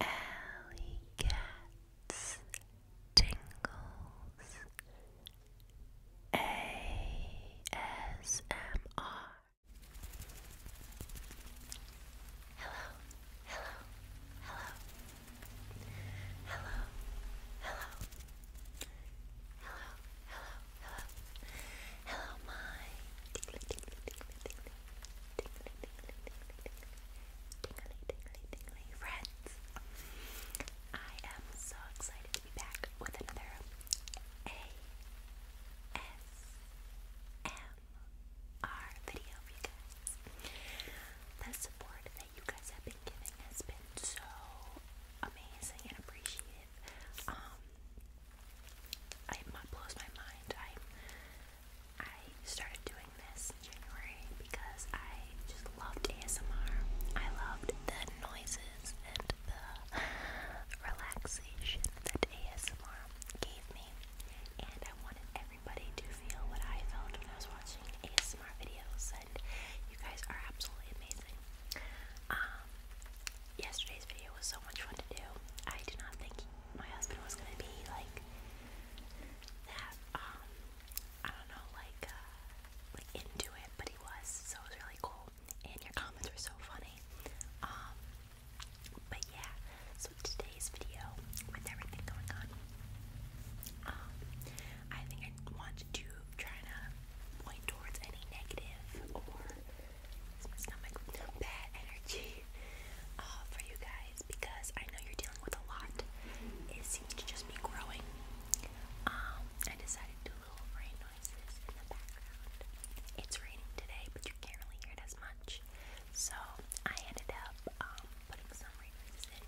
Alley Cat's Tingles ASMR. Hello, hello, hello, hello, hello, hello, hello, hello, hello, my tingly, friends. I am so excited to be back with another ASMR uh, video for you guys. The support that you guys have been giving has been so amazing and appreciated. Um, it blows my mind. I'm I started doing this in January because I just loved ASMR. I loved the noises and the relaxation that ASMR gave me, and I wanted everybody to feel what I felt when I was watching ASMR videos. And you guys are absolutely amazing. Um, yesterday's video was so much fun to do. I do not think my husband was gonna be like that, um, I don't know, like, uh, like into it, but he was, so it was really cool. And your comments were so funny. Um, but yeah, so today's video, with everything going on, um, I think I want to try to point towards any negative or my stomach bad energy uh, for you guys because I know you're dealing with a lot. It seems to just be growing. Um, I decided to do little rain noises in the background. It's raining today, but you can't really hear it as much. So I ended up um, putting some rain noises in.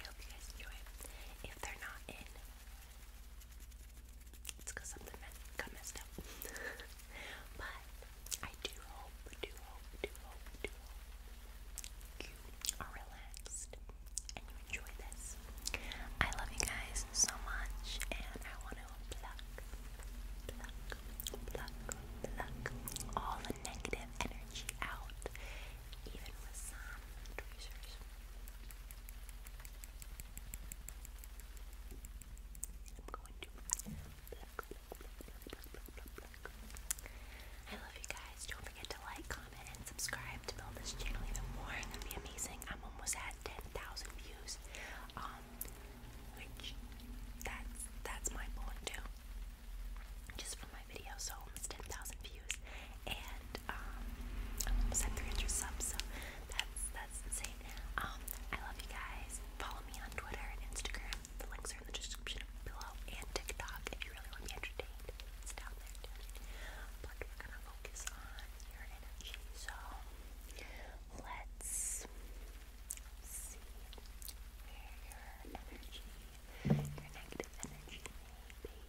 I hope you guys enjoy If they're not in, it's something got messed up. but I do hope, do hope, do hope, do hope you are relaxed and you enjoy this. I love you guys so much, and I want to pluck, pluck, pluck, pluck all the negative energy out, even with some tweezers. I'm going to I love you guys. Don't forget to like, comment, and subscribe to build this channel even more. that be amazing. I'm almost at 10,000 views. Um, which that's that's mind blowing too. Just for my video, so almost 10,000 views, and um, i subs. So that's that's insane. Um, I love you guys. Follow me on Twitter and Instagram the links are in the description below and TikTok if you really want to be entertained. It's down there too. But we're gonna focus on your energy. So let's see where your energy, your negative energy may be. Okay.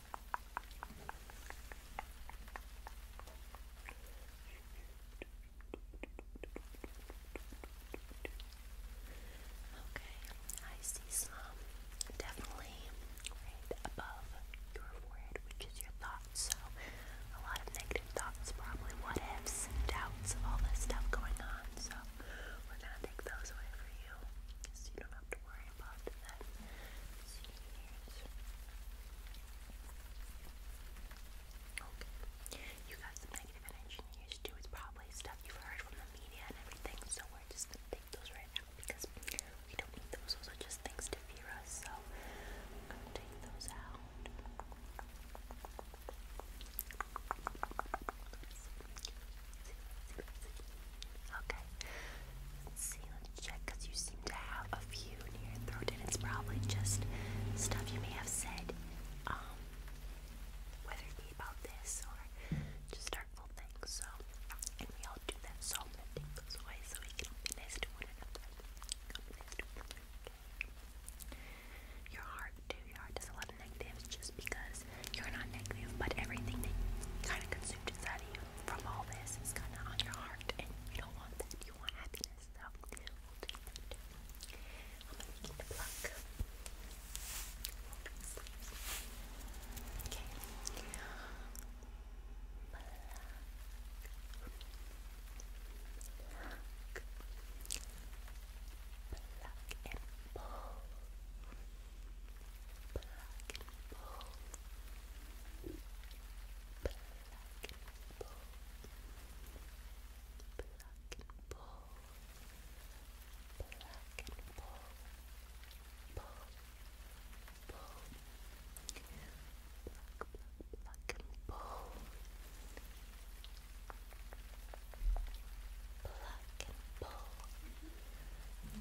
Okay, I see some definitely right above your forehead, which is your thoughts. So, a lot of negative thoughts, probably what ifs, doubts, all this stuff going on. So, we're gonna take those away for you because you don't have to worry worry You got some negative energy in yours It's probably stuff you've heard from the media and everything, so we're just gonna take those right now because we don't need those. Those just things to fear us, so take those out. Okay. Let's see, you seem to have a few near your throat, and it's probably just stuff you may have said, um, whether it be about this or just hurtful things. So, and we all do that, so i take those away so we can be nice to one another. Your heart, too. Your heart does a lot of negative. Just because you're not negative, but everything that kind of consumed inside of you from all this is kind of on your heart, and you don't want that. You want happiness, so I'm gonna begin to pluck. Okay. Black and blue. pluck and pull, pluck and pull, pluck and pull, pluck and pull, and pull, pluck and pull,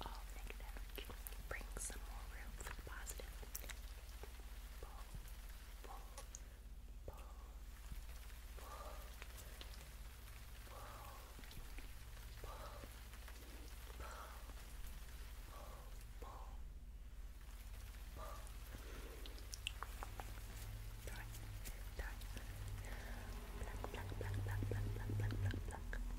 All negative some more room for the positive. Pull, pull, pull, pull, pull, pull, pull, pull, pull. Pull. Dark, dark. Black, black, black, black, black, black, black, black, black.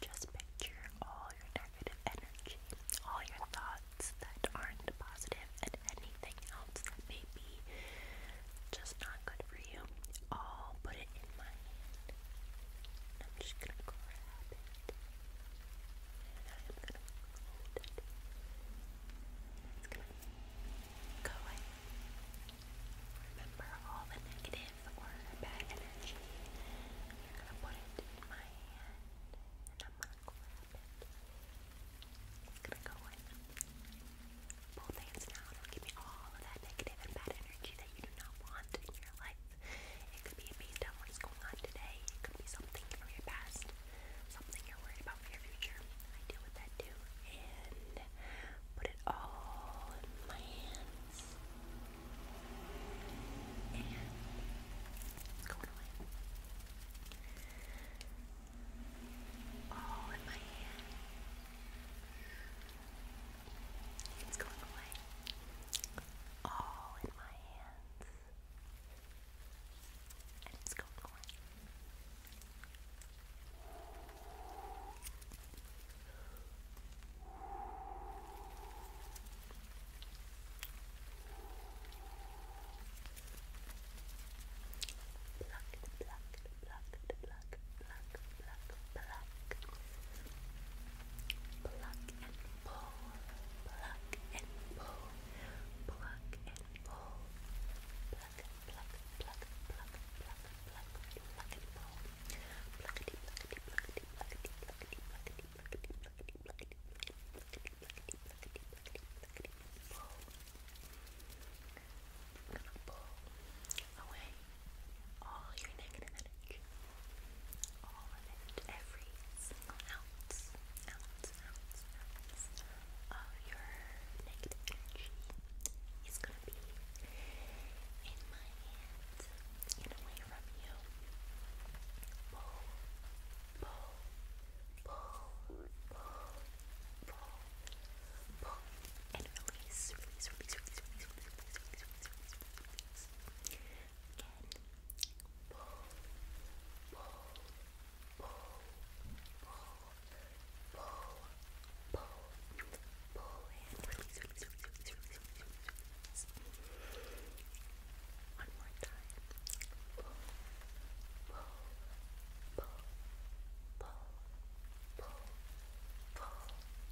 Just picture all your negative energy, all your thoughts that aren't positive, and anything else that may be just not good for you. All put it in my hand. I'm just gonna grab it and I'm gonna hold it. It's gonna go away. Remember all the negative or bad energy. You're gonna put it in my hand and I'm gonna grab it. It's gonna go away. Both hands now. give me all of that negative and bad energy that you do not want in your life. It could be based on what is going on today. It could be something from your past, something you're worried about for your future. I deal with that too. And put it all in my hands. And it's going away. All in my hands. It's going away. All in my hands. And it's going away. Pluck, pluck, pluck, pluck, pluck, pluck, pluck, pluck. Pluck and pull, pluck and pull, pluck and pull. Pluck, pluck, pluck, pluck, pluck, pluck, pluck and pull. Pluckety, pluckety, pluckety, pluckety, pluckety, pluckety, pluckety, pluckety, pluckety, pluckety, pluckety, pluckety, pluckety, pluckety, pull. I'm gonna pull away all your negative energy, all of it, every single ounce, ounce, ounce, ounce of your negative energy is going to be in my hands away from you. Pull, pull, pull, pull, pull, pull, and release, release, release, release, release, release, release, release, release, release, Again, pull, pull, pull, pull, pull, pull, pull, One more time. pull, pull, pull, pull, pull, pull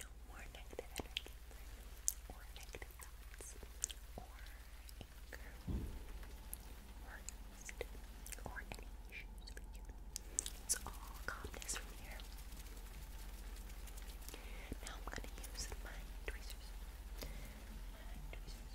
No more negative energy or negative thoughts or anger or angst or any issues for you. It's all calmness from here. Now I'm gonna use my tweezers. My tweezers.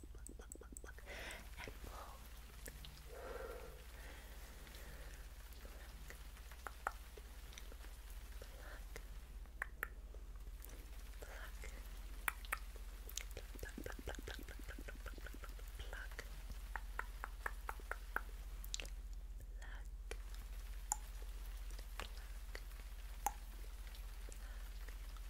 pluck, pluck, pluck, pluck, pluck, and blow. Pluck, pluck, pluck, pluck, pluck, pluck, pluck, pluck, pluck, pluck, pluck, pluck. Pluck. Pluck. Pluck.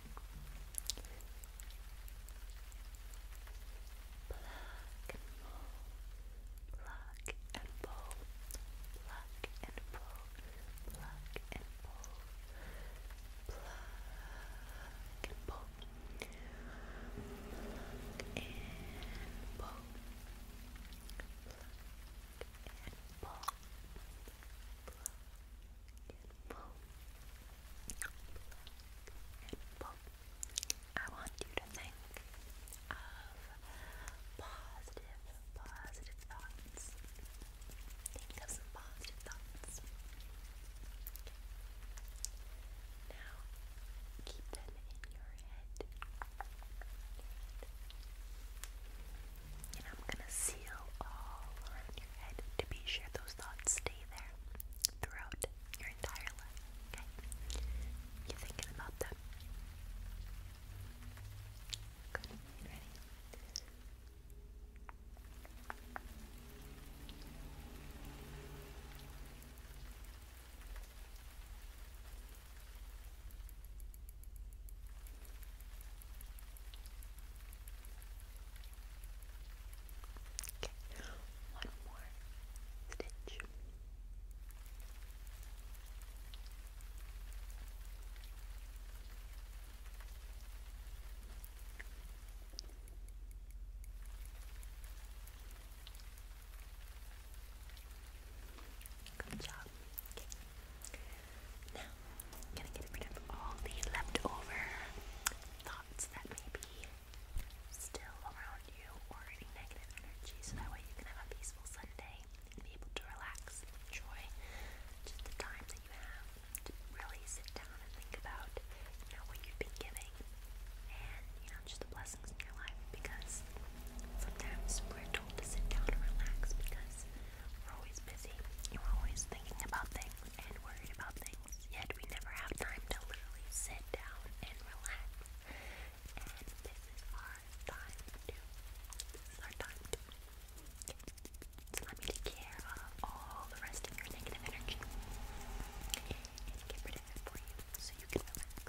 Pluck and pull, pluck and pull, pluck and pull, pluck and pull, pluck and pull, pluck and pull, pluck and pull, and and pull. I want you to think of positive, positive thoughts. Think of some positive thoughts. Now keep them in your head. And I'm gonna seal all around your head to be sure those thoughts stay stay there throughout your entire life, okay? You thinking about them? Good, ready? Okay, one more stitch. Good job. Now, gonna get rid of all the leftover thoughts thoughts that may be still around you or any negative energy so that way you can have a peaceful Sunday and be able to relax enjoy just the time that you have to really sit down and think about you know what you've been giving and you know just the blessings in your life because sometimes we're told to sit down and relax because we're always busy and are always thinking about things and worried about things yet we never have time to literally sit down and relax. And this is our time to. our time to. so let me take care of all the rest of your negative energy and get rid of it for you so you can relax.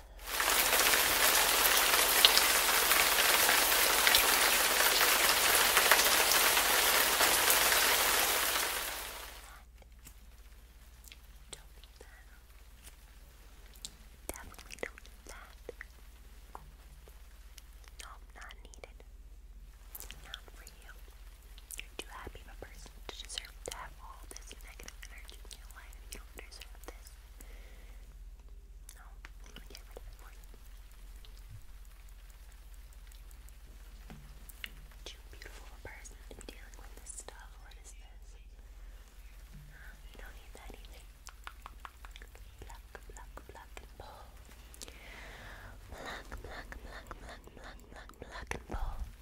Don't that. Definitely not that. Nope, not needed. Not for you. You're too happy of a person to deserve to have all this negative energy in your life. You don't deserve this. No, I'm gonna get rid of it for you. Too beautiful a person to be dealing with this stuff. What is this? Um, you don't need that either. Pluck, pluck, pluck, and pull. Pluck, pluck, pluck, pluck, pluck, pluck, pluck, and pull.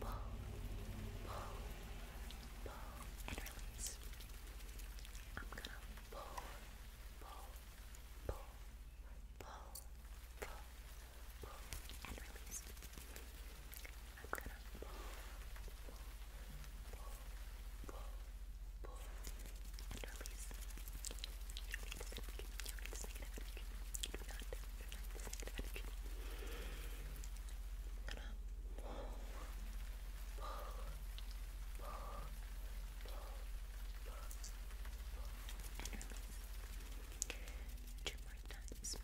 pull, pull, pull, and release. I'm gonna pull, pull, pull, pull, pull, pull, and release. I'm gonna pull, pull, pull, pull, pull, and release. You need this, you need this, you do not Two more times.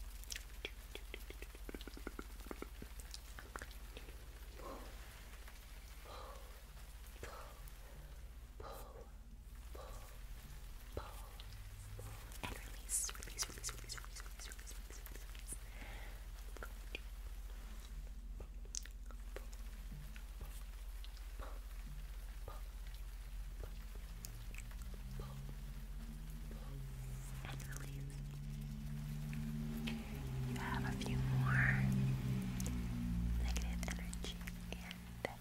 Pull, pull, pull, pull, pull, pull, and release, You have a few more negative energy and little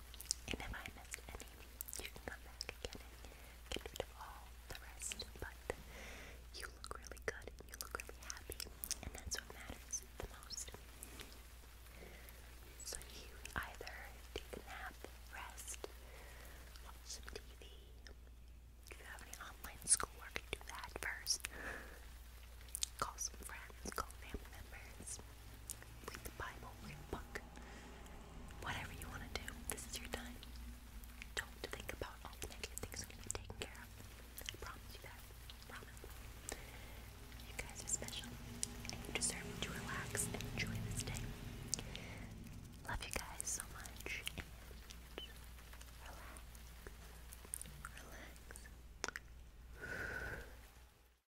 And if I missed any, you can come back again and get all the rest. But you look really good you look really happy, and that's what matters the most. So you either take a nap, rest, watch some TV. If you have any online schoolwork, do that first. Call some friends, call family members read the Bible, read a book, whatever you want to do. This is your time. Don't think about all the negative things are going taken care of. I promise you that. Promise. You guys are special, and you deserve to relax and enjoy this day. Love you guys so much. relax. Relax.